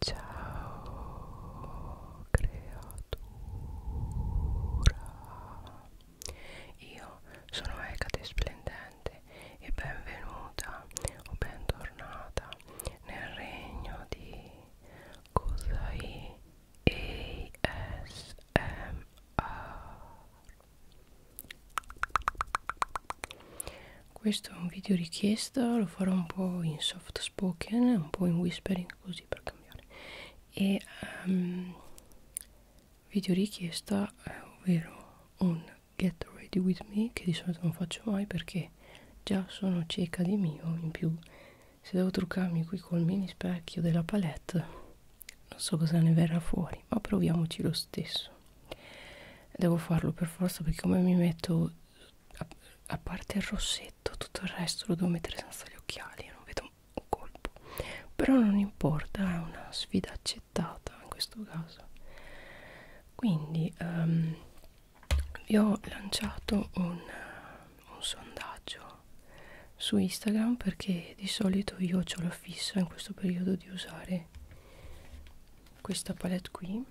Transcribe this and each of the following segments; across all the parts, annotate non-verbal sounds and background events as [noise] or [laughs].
Ciao creatura, io sono Ecate Splendente e benvenuta o bentornata nel regno di Kusai ASMR. Questo è un video richiesta, lo farò un po' in soft spoken, un po' in whispering così per cambiare e um, ehm, video richiesta, ovvero un get ready with me che di solito non faccio mai perché già sono cieca di mio in più se devo truccarmi qui col mini specchio della palette non so cosa ne verrà fuori ma proviamoci lo stesso devo farlo per forza perché come mi metto a, a parte il rossetto tutto il resto lo devo mettere senza gli occhiali non vedo un colpo però non importa è una sfida accettata in questo caso quindi um, vi ho lanciato un, un sondaggio su Instagram perché di solito io ho la fissa in questo periodo di usare questa palette qui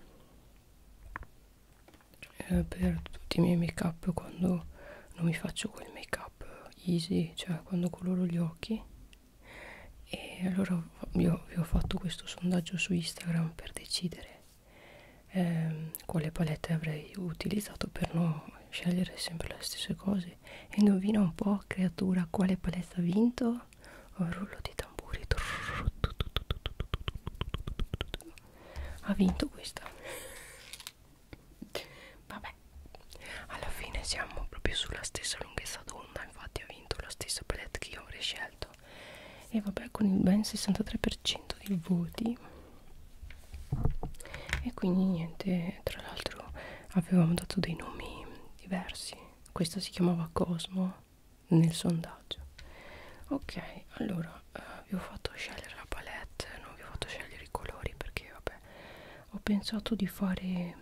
eh, per tutti i miei make up quando non mi faccio quel make up easy cioè quando coloro gli occhi e allora io vi ho fatto questo sondaggio su Instagram per decidere eh, quale palette avrei utilizzato per non scegliere sempre le stesse cose e indovina un po' creatura quale palette ha vinto un rullo di tamburi ha vinto questa vabbè alla fine siamo proprio sulla stessa lunghezza d'onda infatti ha vinto la stessa palette che io avrei scelto e vabbè con il ben 63% di voti e quindi niente tra l'altro avevamo dato dei nomi diversi questo si chiamava Cosmo nel sondaggio ok allora eh, vi ho fatto scegliere la palette non vi ho fatto scegliere i colori perché vabbè ho pensato di fare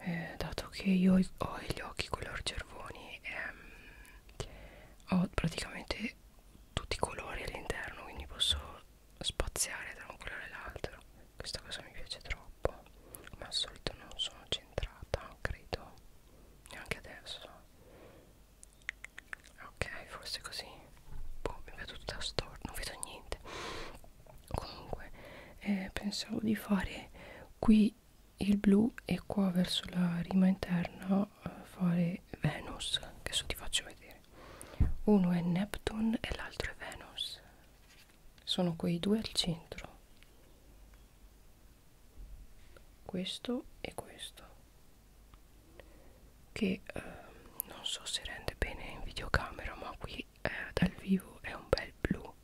eh, dato che io ho gli occhi color cervoni ehm, ho praticamente tutti i colori all'interno quindi posso spaziare da un colore all'altro questa cosa mi piace troppo ma al solito non sono centrata credo neanche adesso ok forse così boh, mi vedo tutta storta non vedo niente comunque eh, pensavo di fare qui il blu e qua verso la rima interna eh, fare Venus che adesso ti faccio vedere uno è Neptune e l'altro è Venus sono quei due al centro questo e questo che eh, non so se rende bene in videocamera ma qui eh, dal vivo è un bel blu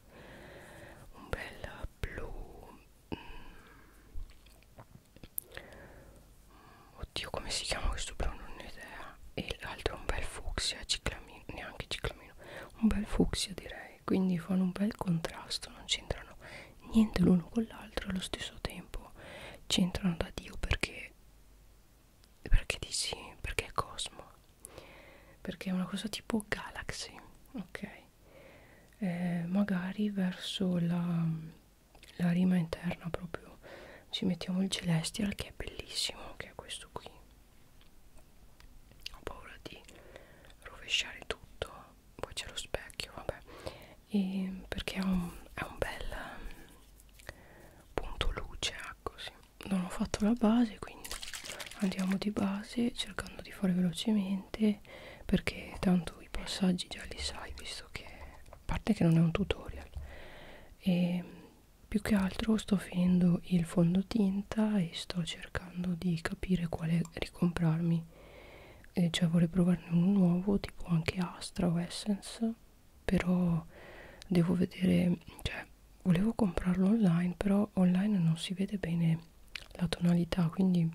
un bel blu mm, oddio come si chiama questo blu non ho idea e l'altro è un bel fucsia ciclamino neanche ciclamino un bel fucsia direi e quindi fanno un bel contrasto, non c'entrano niente l'uno con l'altro, allo stesso tempo c'entrano da Dio perché perché dici perché è Cosmo perché è una cosa tipo Galaxy ok eh, magari verso la, la rima interna proprio ci mettiamo il Celestial che è bellissimo che è questo qui ho paura di rovesciare tutto poi c'è lo specchio vabbè e perché è un, è un bel punto luce ecco sì non ho fatto la base quindi andiamo di base cercando di fare velocemente perché tanto i passaggi già li sai visto che a parte che non è un tutorial e più che altro sto finendo il fondotinta e sto cercando di capire quale ricomprarmi profumi eh, cioè vorrei provarne uno nuovo tipo anche Astra o Essence però devo vedere cioè volevo comprarlo online però online non si vede bene la tonalità quindi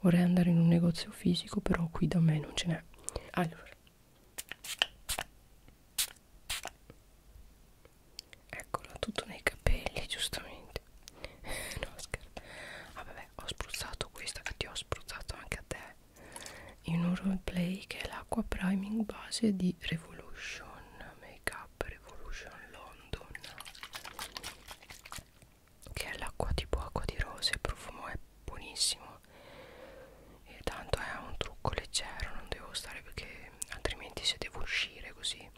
vorrei andare in un negozio fisico però qui da me non ce n'è allora eccola tutto nei capelli giustamente [laughs] no scherzo ah vabbè ho spruzzato questa che ti ho spruzzato anche a te in un roleplay che è l'acqua priming base di Revolution Makeup Revolution London che è l'acqua tipo acqua di rose il profumo è buonissimo e tanto è un trucco leggero non devo stare perché altrimenti se devo uscire così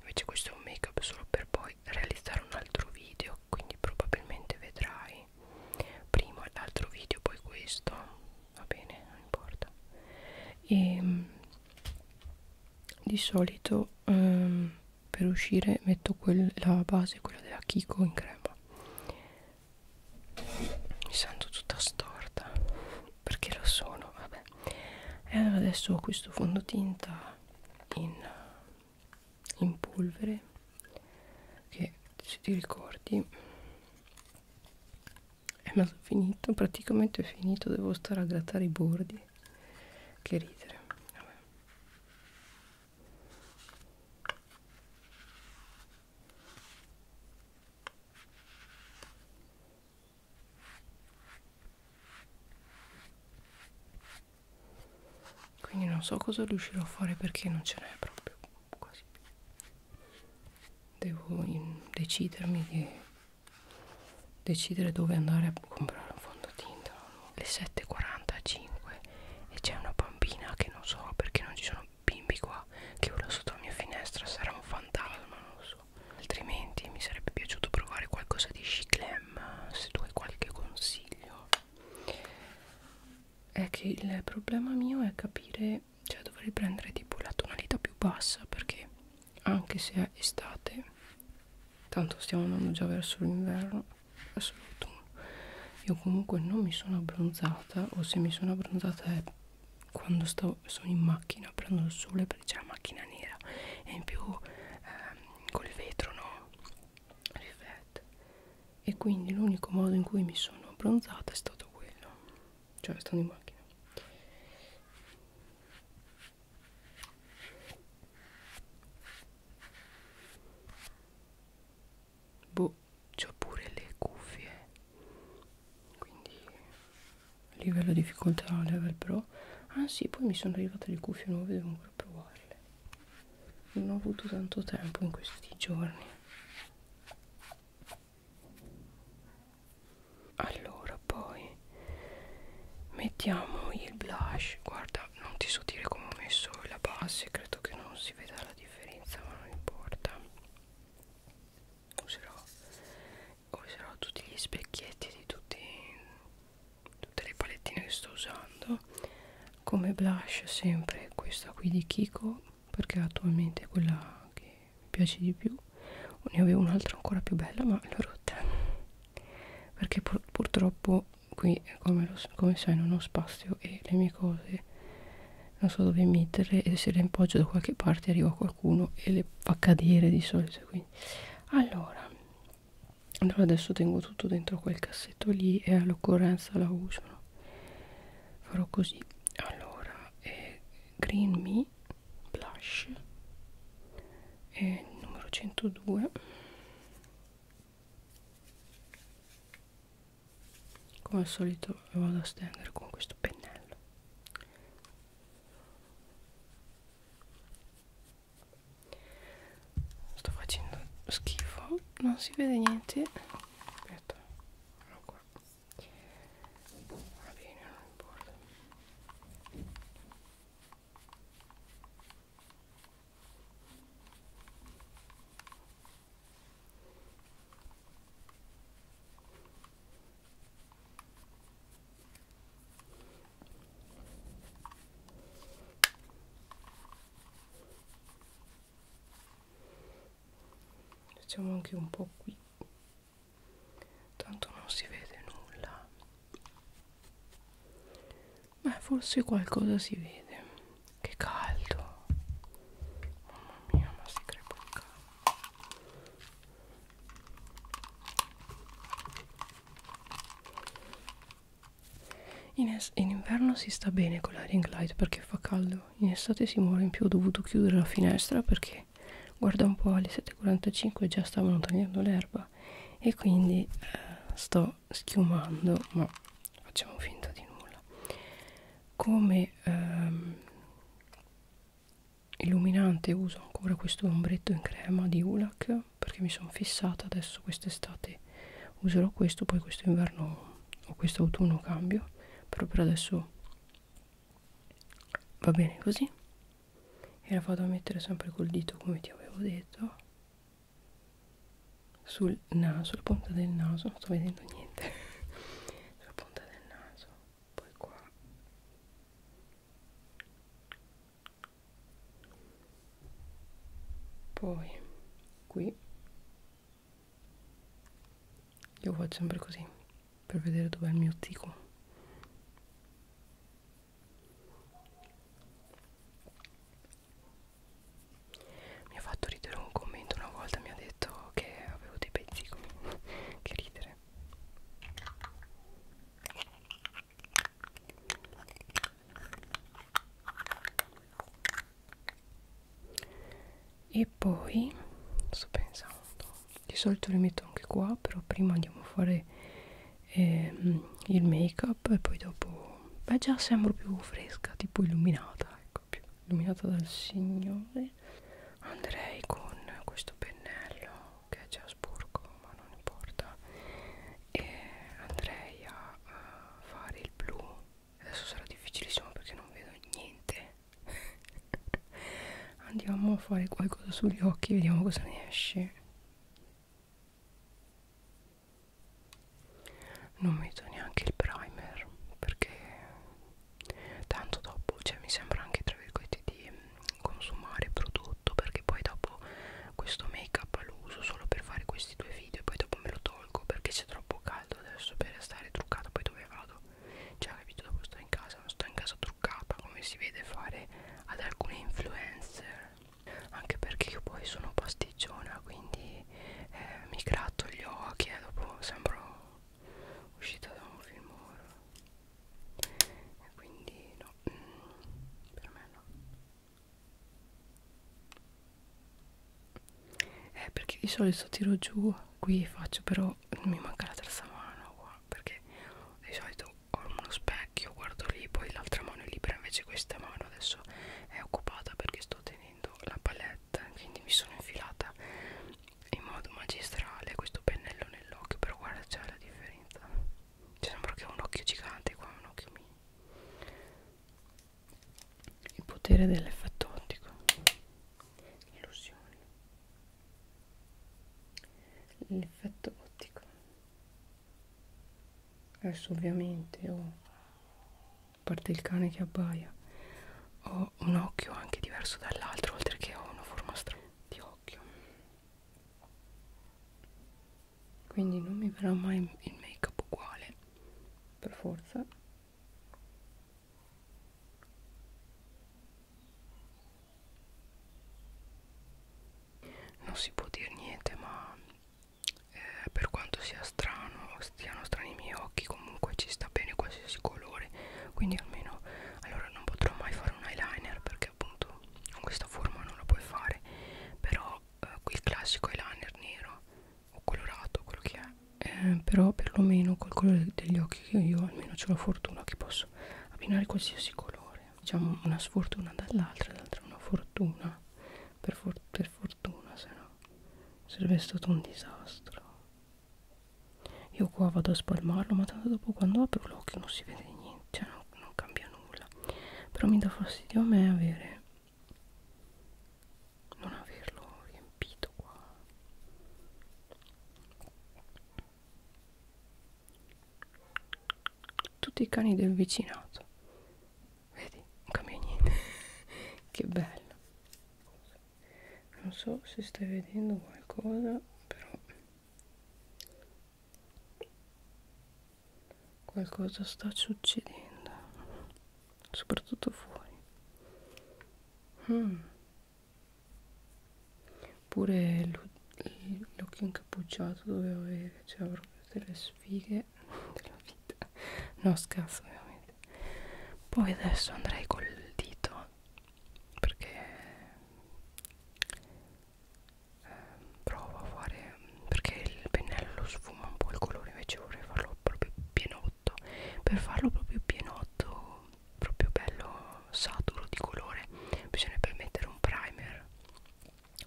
invece questo è un make up solo per poi poi realizzare un altro video quindi probabilmente vedrai prima l'altro video poi questo va bene non importa e ehm, di solito um, per uscire metto quel, la base quella della Kiko in crema mi sento tutta storta perché lo sono vabbè e adesso ho questo fondotinta in, in polvere che se ti ricordi è mezzo finito praticamente è finito devo stare a grattare i bordi che ridere Vabbè quindi non so cosa riuscirò a fare perché non ce n'è proprio quasi più devo decidermi di decidere dove andare a comprare un fondotinta le 7.45 e c'è una bambina che non so perché non ci sono bimbi qua che vola sotto la mia finestra sarà un fantasma non lo so senso altrimenti mi sarebbe piaciuto provare qualcosa di Chiclem se tu hai qualche consiglio è che il problema mio è capire cioè dovrei prendere tipo la tonalità più bassa perché anche se è estate tanto stiamo andando già verso l'inverno verso l'autunno io comunque non mi sono abbronzata o se mi sono abbronzata è quando stavo, sono in macchina prendo il sole perché c'è la macchina nera e in più ehm, col vetro no riflette e quindi l'unico modo in cui mi sono abbronzata è stato quello cioè stando in macchina boh c'ho pure le cuffie quindi a livello difficoltà level pro ah sì poi mi sono arrivate le cuffie nuove devo ancora provarle non ho avuto tanto tempo in questi giorni allora poi mettiamo il blush guarda non ti so dire come ho messo la base credo che non si veda la differenza ma non importa userò userò tutti gli specchietti di tutti, tutte le palettine che sto usando come blush sempre questa qui di Kiko perché attualmente è quella che mi piace di più ne avevo un'altra ancora più bella ma l'ho rotta perché pur purtroppo qui come, lo, come sai non ho spazio e le mie cose non so dove metterle e se le appoggio da qualche parte arriva qualcuno e le fa cadere di solito qui quindi allora allora adesso tengo tutto dentro quel cassetto lì e all'occorrenza la uso no? farò così allora eh, green me blush eh, numero 102 come al solito vado a stendere con questo pennello sto facendo schifo non si vede niente aspetta eccolo qua va bene non importa facciamo anche un po' qui tanto non si vede nulla ma forse qualcosa si vede che caldo mamma mia ma si crepa un caldo in, in inverno si sta bene con l'air glide perché fa caldo, in estate si muore in più, ho dovuto chiudere la finestra perché guarda un po' alle 7.45 già stavano tagliando l'erba e quindi eh, sto schiumando, ma facciamo finta di nulla. Come ehm, illuminante uso ancora questo ombretto in crema di Ulac perché mi sono fissata adesso quest'estate userò questo poi questo inverno o questo autunno cambio però per adesso va bene così e la vado a mettere sempre col dito come ti avevo detto sul naso, sulla punta del naso non sto vedendo niente [laughs] sulla punta del naso poi qua poi qui io faccio sempre così per vedere dov'è il mio tico mi ha fatto ridere un commento una volta mi ha detto che avevo dei pezzi [laughs] che ridere e poi sto pensando di solito li metto anche qua però prima andiamo a fare ehm, il make up e poi dopo beh già sembro più fresca tipo illuminata ecco più illuminata dal signore andrei con questo pennello che è già Strasburgo ma non importa e andrei a, a fare il blu adesso sarà difficilissimo perché non vedo niente [laughs] andiamo a fare qualcosa sugli occhi vediamo cosa ne esce non metto neanche il primer perché tanto dopo cioè mi sembra anche tra virgolette di consumare prodotto perché poi dopo questo make up lo uso solo per fare questi due video e poi dopo me lo tolgo perché c'è troppo caldo adesso per stare truccata poi dove vado cioè capito dopo sto in casa non sto in casa truccata come si vede fare ad alcune influencer anche perché io poi sono pasticciona quindi eh, mi gratto gli occhi e dopo sembro uscita da un film e quindi no, mm, per me no eh, perché di solito tiro giù qui faccio però mi manca la terza mano qua perché di solito ho uno specchio guardo lì poi l'altra mano è libera invece questa mano adesso è occupata perché sto tenendo la palette quindi mi sono infilata in modo magistrale questo pennello nell'occhio però guarda c'è la differenza ci sembra che è un occhio gigante qua un occhio mini il potere dell'effetto ottico illusione l'effetto ottico adesso ovviamente ho oh, a parte il cane che abbaia ho un occhio anche diverso dall'altro oltre che ho una forma strana di sott'occhio quindi non mi verrà mai il make up uguale per forza non si può dire niente ma eh, per quanto sia strano stiano strani i miei occhi comunque ci sta bene quasi qualsiasi colore quindi almeno allora non potrò mai fare un eyeliner perché appunto con questa forma non lo puoi fare però eh, qui il classico eyeliner nero o colorato quello che è eh, però perlomeno col colore degli occhi che io almeno ho la fortuna che posso abbinare qualsiasi colore diciamo una sfortuna dall'altra l'altra una fortuna per, for per fortuna se no sarebbe stato un disastro io qua vado a spalmarlo ma tanto dopo quando apro l'occhio non si vede niente cioè non, non cambia nulla però mi dà fastidio a me avere non averlo riempito qua tutti i cani del vicinato vedi non cambia niente [laughs] che bello non so se stai vedendo qualcosa però qualcosa sta succedendo soprattutto fuori mm. pure l'occhio incappucciato dovevo avere cioè avrò delle sfighe [laughs] della vita no scherzo ovviamente poi adesso andrei col dito perché eh, provo a fare perché il pennello sfuma un po' il colore invece vorrei farlo proprio pienotto per farlo proprio pienotto proprio bello saturo di colore bisognerebbe mettere un primer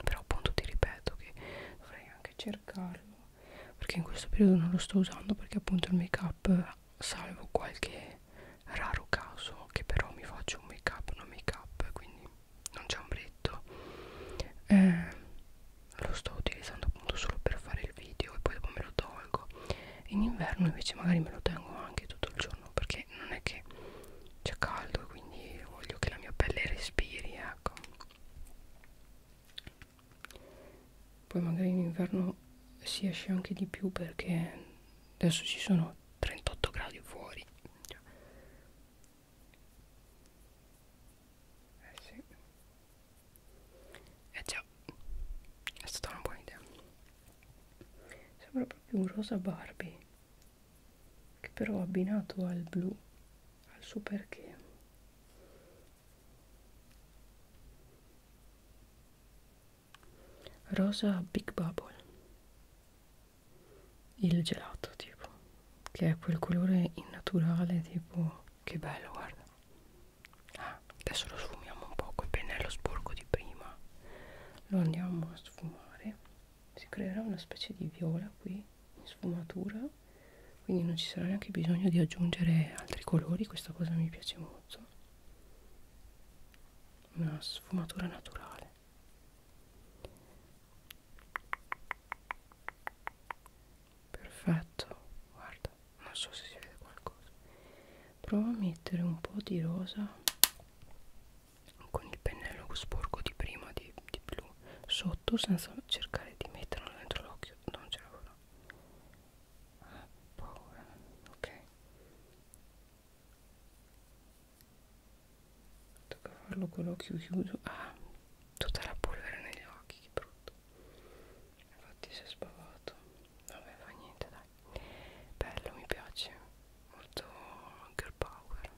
però appunto ti ripeto che dovrei anche cercarlo perché in questo periodo non lo sto usando perché appunto il make up salvo qualche raro caso che però mi faccio un make up una make up quindi non c'è ombretto eh, lo sto utilizzando appunto solo per fare il video e poi dopo me lo tolgo in inverno invece magari me lo tengo anche tutto il giorno perché non è che c'è caldo quindi voglio che la mia pelle respiri ecco poi magari in inverno si esce anche di più perché adesso ci sono 38 gradi fuori eh sì eh già è stata una buona idea sembra proprio un rosa Barbie che però abbinato al blu al suo perché rosa big bubble il gelato tipo che è quel colore innaturale tipo che bello guarda ah, adesso lo sfumiamo un po' col pennello sporco di prima lo andiamo a sfumare si creerà una specie di viola qui in sfumatura quindi non ci sarà neanche bisogno di aggiungere altri colori questa cosa mi piace molto una sfumatura naturale perfetto guarda non so se si vede qualcosa prova a mettere un po' di rosa con il pennello sporco di prima di, di blu sotto senza cercare di metterlo dentro l'occhio non ce la farò Ah, paura, ok. Tocca farlo con l'occhio chiuso. Ah, tutta la polvere negli occhi, che brutto. Infatti si è spavato. Vabbè, fa niente, dai. Bello, mi piace. Molto girl power.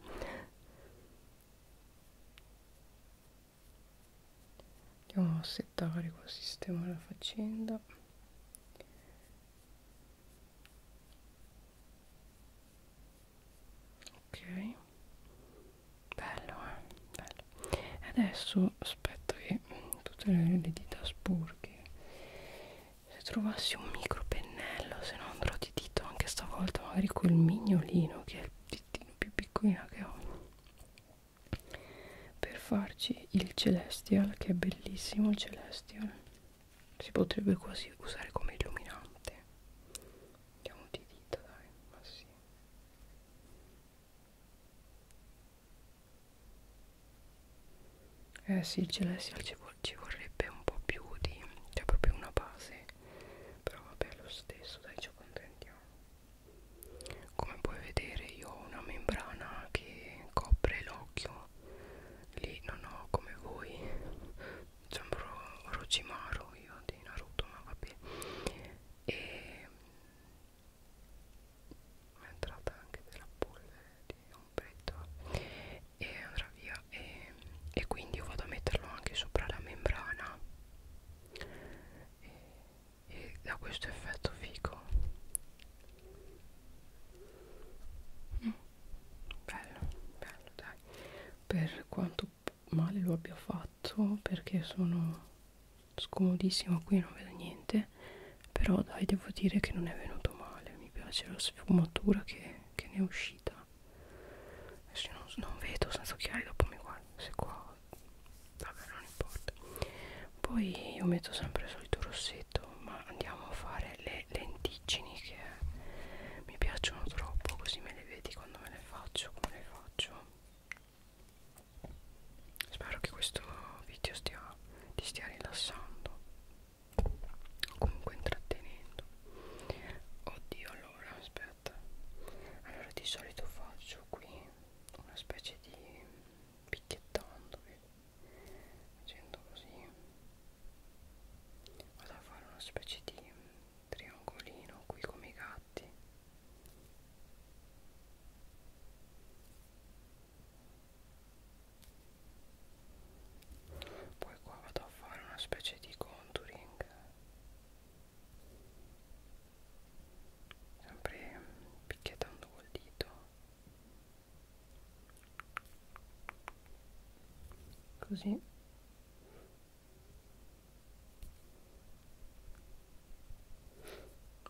Andiamo a settare col sistema la faccenda ok bello eh bello adesso aspetto che tutte le, le dita sporche se trovassi un micro pennello se no andrò di dito anche stavolta magari col mignolino che è il ditino più piccolino che ho per farci il celestial che è bellissimo il celestial si potrebbe quasi usare come illuminante diamo di dita dai ma sì eh sì il celestial ci, vor ci vorrebbe un po' più di cioè proprio una base però vabbè lo stesso dai ci accontentiamo come puoi vedere io ho una membrana che copre l'occhio lì non ho come voi sembro Rojimaro io di Naruto ma vabbè e è entrata anche della polvere di ombretto e andrà via e, e quindi io vado a metterlo anche sopra la membrana e e da questo effetto fico mm. bello bello dai per quanto male lo abbia fatto perché sono scomodissimo qui non vedo niente però dai devo dire che non è venuto male mi piace la sfumatura che, che ne è uscita adesso non, non vedo senza occhiali dopo mi guardo se qua vabbè non importa poi io metto sempre il solito rossetto ma andiamo a fare le lentiggini che mi piacciono troppo così me le vedi quando me le faccio come le faccio spero che questo video stia, ti stia rilassando o comunque intrattenendo oddio allora aspetta allora di solito faccio qui una specie di picchiettando facendo così vado a fare una specie di triangolino qui come i gatti poi qua vado a fare una specie di contouring sempre picchiettando col dito così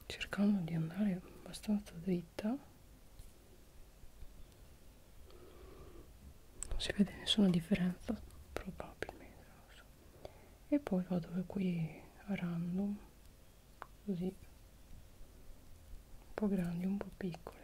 cercando di andare abbastanza dritta non si vede nessuna differenza probabilmente so. e poi vado qui a random così un po' grandi un po' piccole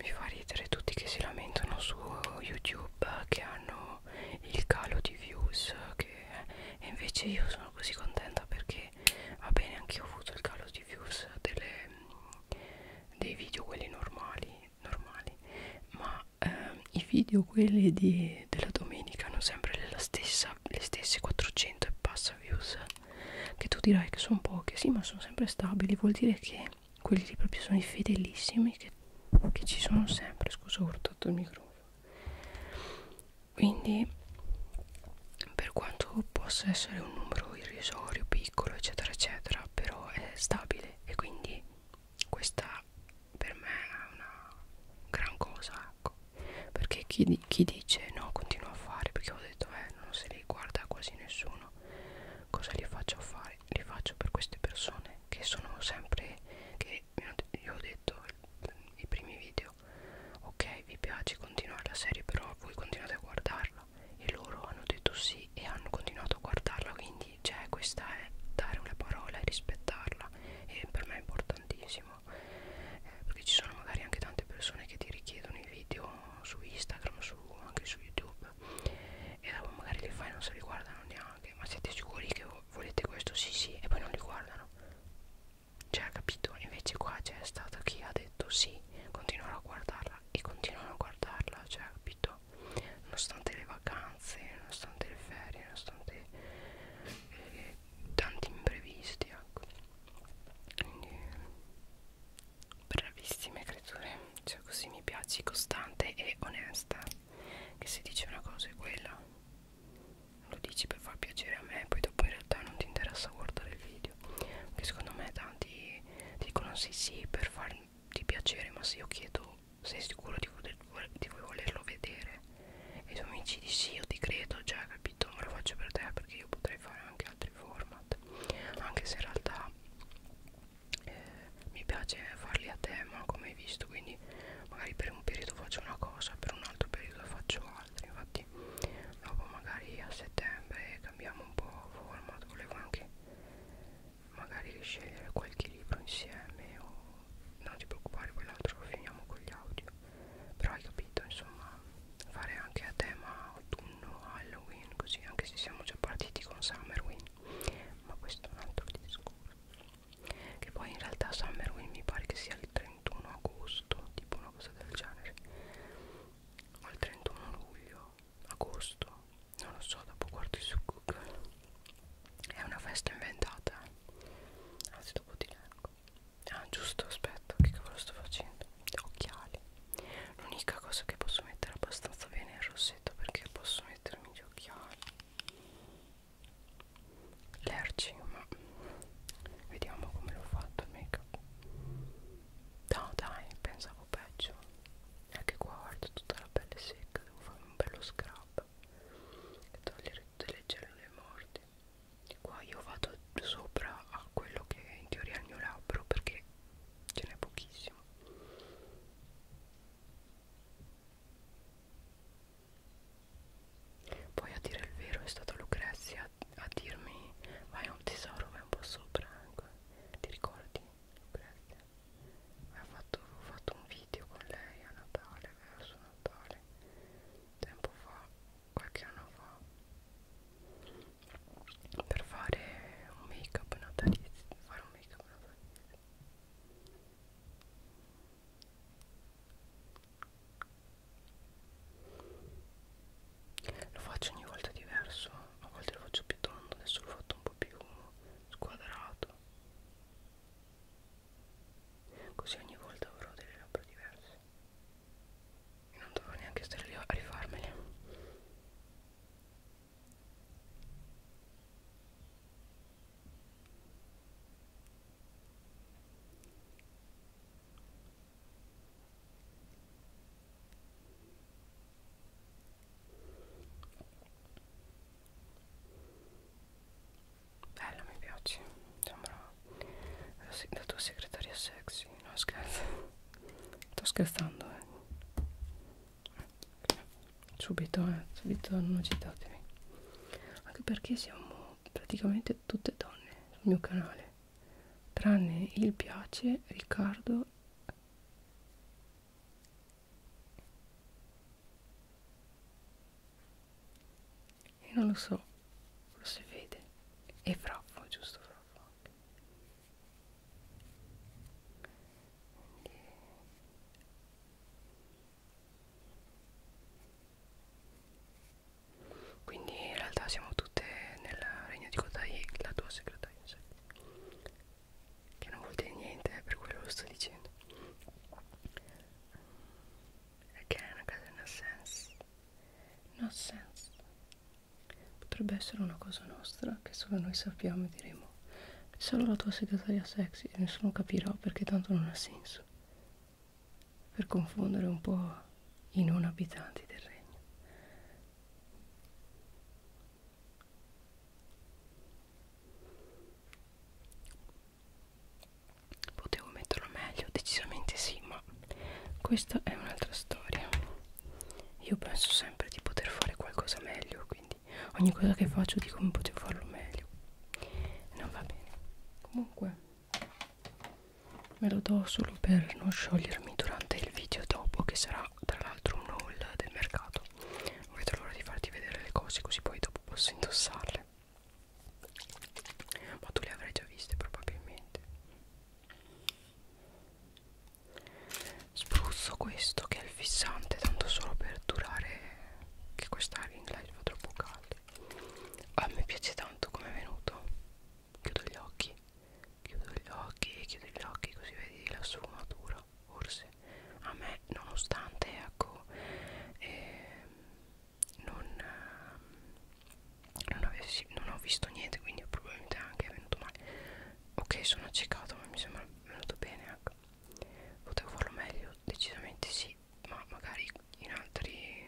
mi fa ridere tutti che si lamentano su YouTube che hanno il calo di views che e invece io sono così contenta perché va bene anche io ho avuto il calo di views delle, dei video quelli normali normali ma ehm, i video quelli di, della domenica hanno sempre la stessa, le stesse 400 e passa views che tu dirai che sono poche sì ma sono sempre stabili vuol dire che quelli lì proprio sono i fedelissimi che, che ci sono sempre scusa ho urtato il microfono quindi per quanto possa essere un numero irrisorio piccolo eccetera eccetera però è stabile e quindi questa per me è una gran cosa ecco perché chi, chi dice no continua a fare perché ho detto eh non se li guarda quasi nessuno cosa li faccio fare li faccio per queste persone che sono sempre che mi hanno, gli ho detto detto i primi video ok vi piace continuare la serie però voi continuate a guardarla e loro hanno detto sì e hanno continuato a guardarla quindi cioè questa è dare una parola e rispettarla e per me è importantissimo eh, perché ci sono magari anche tante persone che ti richiedono i video su Instagram su, anche su YouTube e dopo magari li fai non se li guardano neanche ma siete sicuri che volete questo? sì sì e poi non li guardano cioè capito invece qua c'è stato chi ha detto sì continuano a guardarla e continuano a guardarla cioè capito nonostante le vacanze nonostante le ferie nonostante eh, tanti imprevisti ecco quindi bravissime creature cioè così mi piaci costante e onesta che se dice una cosa è quella lo dici per far piacere a me poi dopo in realtà non ti interessa guardare il video che secondo me tanti dicono sì sì per farti piacere ma se io chiedo sei sicuro di, voler, di volerlo vedere e i tuoi amici dici sì io ti credo già capito ma lo faccio per te perché io potrei fare anche altri format anche se in realtà eh, mi piace farli a tema come hai visto quindi quindi magari per un periodo faccio una cosa per un altro periodo faccio altre infatti dopo magari a settembre cambiamo un po' format volevo anche magari scegliere qualche libro insieme o non ti preoccupare poi l'altro lo finiamo con gli audio però hai capito insomma fare anche a tema autunno Halloween così anche se siamo già partiti con Summerween ma questo è un altro discorso che poi in realtà Summerwin mi pare che sia il 31 agosto tipo una cosa del genere o il 31 luglio agosto non lo so dopo guardi su google è una festa inventata anzi ah, dopo ti leggo ah giusto aspetta che cavolo sto facendo occhiali l'unica cosa che posso mettere abbastanza bene è il rossetto perché posso mettermi gli occhiali l'erci ma vediamo come l'ho fatto il make up no dai pensavo peggio anche qua guardo tutta la pelle secca devo fare un bello scrub e togliere tutte le cellule morte e qua io vado sopra a quello che in teoria è il mio labbro perché ce n'è pochissimo poi a dire il vero è stata Lucrezia a, a dirmi vai a un tesoro, vai un po' sopra, ecco. ti ricordi? Lucrezia? Ho fatto, ho fatto un video con lei a Natale, verso Natale, tempo fa, qualche anno fa, per fare un make up natalizio, fare un make up natalizio. Lo faccio ogni volta diverso, a volte lo faccio più tondo, adesso l'ho fatto un po' più squadrato. Così ogni volta avrò delle labbra diverse. E non dovrò neanche stare lì a rifarmele. Bello, mi piace. Sembra la, se la tua segretaria sexy. No, scherzo. Sto scherzando, eh subito eh, subito non citatemi anche perché siamo praticamente tutte donne sul mio canale tranne il piace Riccardo e non lo so forse vede e fraffo giusto fraffo anche quindi in realtà siamo tutte nel regno di Kotai la tua segretaria che non vuol dire niente per quello lo sto dicendo again again no sense no sense potrebbe essere una cosa nostra che solo noi sappiamo e diremo solo la tua segretaria sexy e nessuno capirà perché tanto non ha senso per confondere un po' i non abitanti del regno. Potevo metterlo meglio, decisamente sì, ma questa è un'altra storia. Io penso sempre di poter fare qualcosa meglio, quindi ogni cosa che faccio dico come potevo farlo meglio non va bene comunque me lo do solo per non sciogliermi durante il video dopo che sarà tra l'altro un haul del mercato non vedo l'ora di farti vedere le cose così poi dopo posso indossarle ma tu le avrai già viste probabilmente spruzzo questo che è il fissante tanto solo per durare che questa ring light fa troppo caldo a me piace tanto come è venuto chiudo gli occhi chiudo gli occhi chiudo gli occhi così vedi la sfumatura forse a me nonostante ecco eh, non, eh, non, avessi, non ho visto niente quindi probabilmente anche è venuto male ok sono accecato ma mi sembra venuto bene ecco potevo farlo meglio decisamente sì ma magari in altri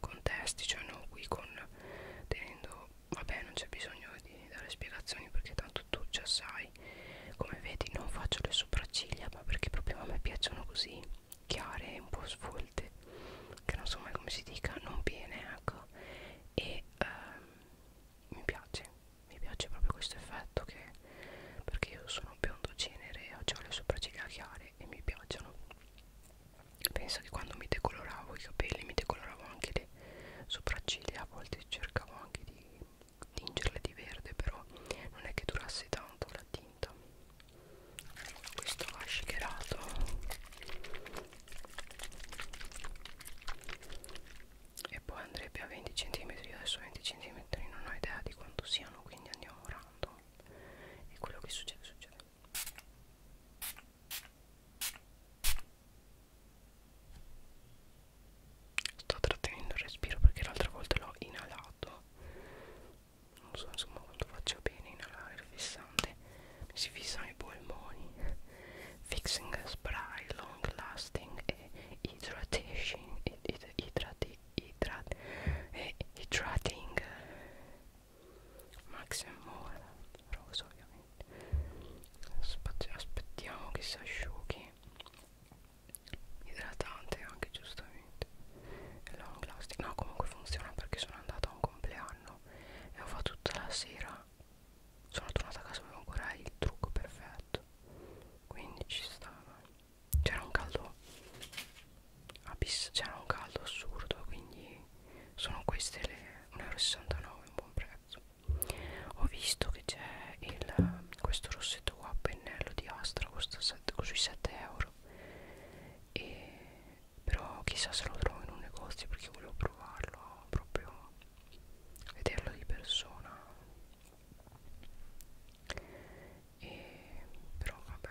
contesti cioè non qui con tenendo vabbè non c'è bisogno di dare spiegazioni perché tanto tu già sai come vedi non faccio le sopracciglia ma perché proprio a me piacciono così chiare un po' svolte che non so mai come si dica non viene ecco e ehm, mi piace mi piace proprio questo effetto che perché io sono biondo genere ho le sopracciglia chiare e mi piacciono penso che quando mi decoloravo i capelli mi decoloravo anche le sopracciglia a volte cercavo anche di tingerle di verde però non è che durasse tanto la tinta questo va shakerato e poi andrebbe a 20 cm adesso 20 cm non ho idea di quanto sia strano quindi andiamo random e quello che succede succede sto trattenendo il respiro perché l'altra volta l'ho inalato non so insomma quanto faccio bene inalare il fissante mi si fissano i polmoni fixing spray long lasting e hydratation, id, id, hydrating idrat eh, Hydrating Max More rosa ovviamente Aspet aspettiamo che si asciughi idratante anche giustamente long lasting no comunque funziona perché sono andata a un compleanno e ho fatto tutta la sera sono tornata a casa avevo ancora il trucco perfetto quindi ci stava c'era un caldo abisso, c'era un caldo assurdo quindi sono queste le 1,69 euro un buon prezzo ho visto che c'è questo rossetto qua a pennello di Astra costa 7, sui 7 euro e, però chissà se lo trovo in un negozio perché volevo provarlo proprio vederlo di persona e però vabbè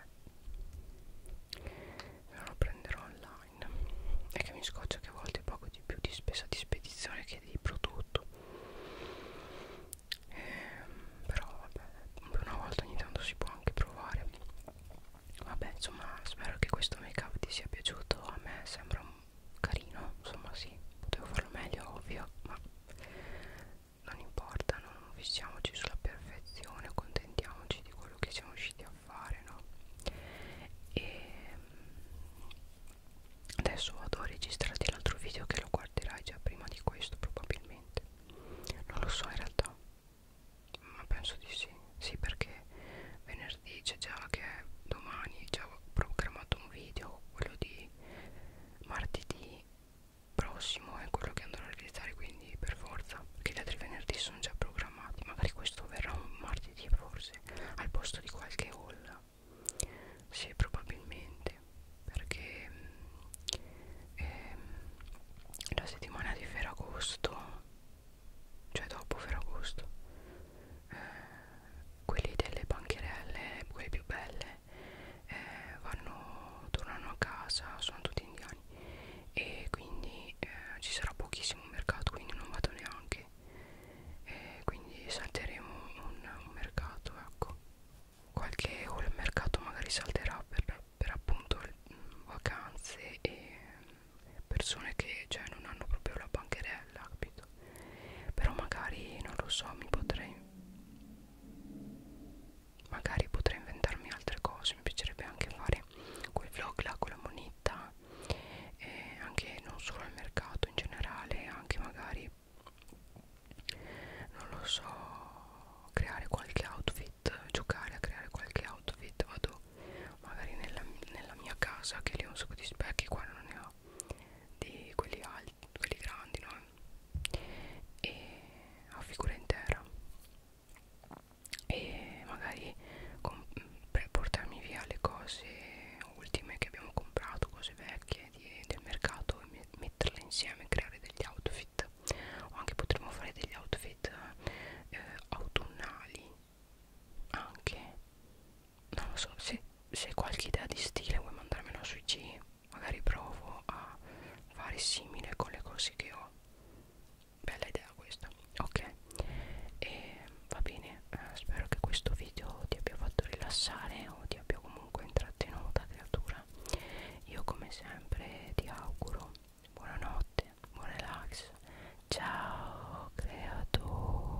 non lo prenderò online è che mi scoccia che a volte pago di più di spesa di spedizione che di prodotto ehm, però vabbè una volta ogni tanto si può anche provare vabbè insomma spero che questo make up ti sia piaciuto a me sembra un carino insomma sì potevo farlo meglio ovvio ma non importa, no? non fissiamoci sulla perfezione, contentiamoci di quello che siamo riusciti a fare, no? E mm, adesso vado a registrarti l'altro video che lo guarderai già prima di questo probabilmente. Non lo so in realtà, ma penso di sì. Sì, perché venerdì c'è già che domani, già ho programmato un video, quello di martedì prossimo è quello che andrò a realizzare quindi per forza perché gli altri venerdì sono già programmati magari questo verrà un martedì forse al posto di qualche haul sì probabilmente perché mm, ehm, la settimana di Ferragosto cioè dopo Ferragosto eh, quelli delle bancherelle, quelle più belle, eh, vanno, tornano a casa, sono tutti indiani e quindi eh, ci sarà pochissimo mercato, quindi non vado neanche. E quindi salteremo un, un mercato, ecco. Qualche o il mercato magari salterà per, per appunto mh, mm, vacanze e persone che cioè, non hanno proprio la bancherella, capito? questo però magari non lo so mi potrei magari potrei inventarmi altre cose mi piacerebbe anche fare quel vlog là con la moneta e anche non solo al mercato in generale anche magari non lo so creare qualche outfit giocare a creare qualche outfit vado magari nella, nella mia casa che lì ho un sacco di specchi qua non ne ho di quelli alti quelli grandi no e a figura intera e magari portarmi via le cose ultime che abbiamo comprato cose vecchie di, del mercato e metterle insieme creare degli outfit o anche potremmo fare degli outfit eh, autunnali anche non lo so se, se qualche idea di stile vuoi mandarmela sui G magari provo a fare simile con le cose che ho bella idea questa ok e va bene eh, spero che questo video ti abbia fatto rilassare o ti abbia comunque intrattenuta creatura io come sempre ti auguro buonanotte buon relax ciao creatura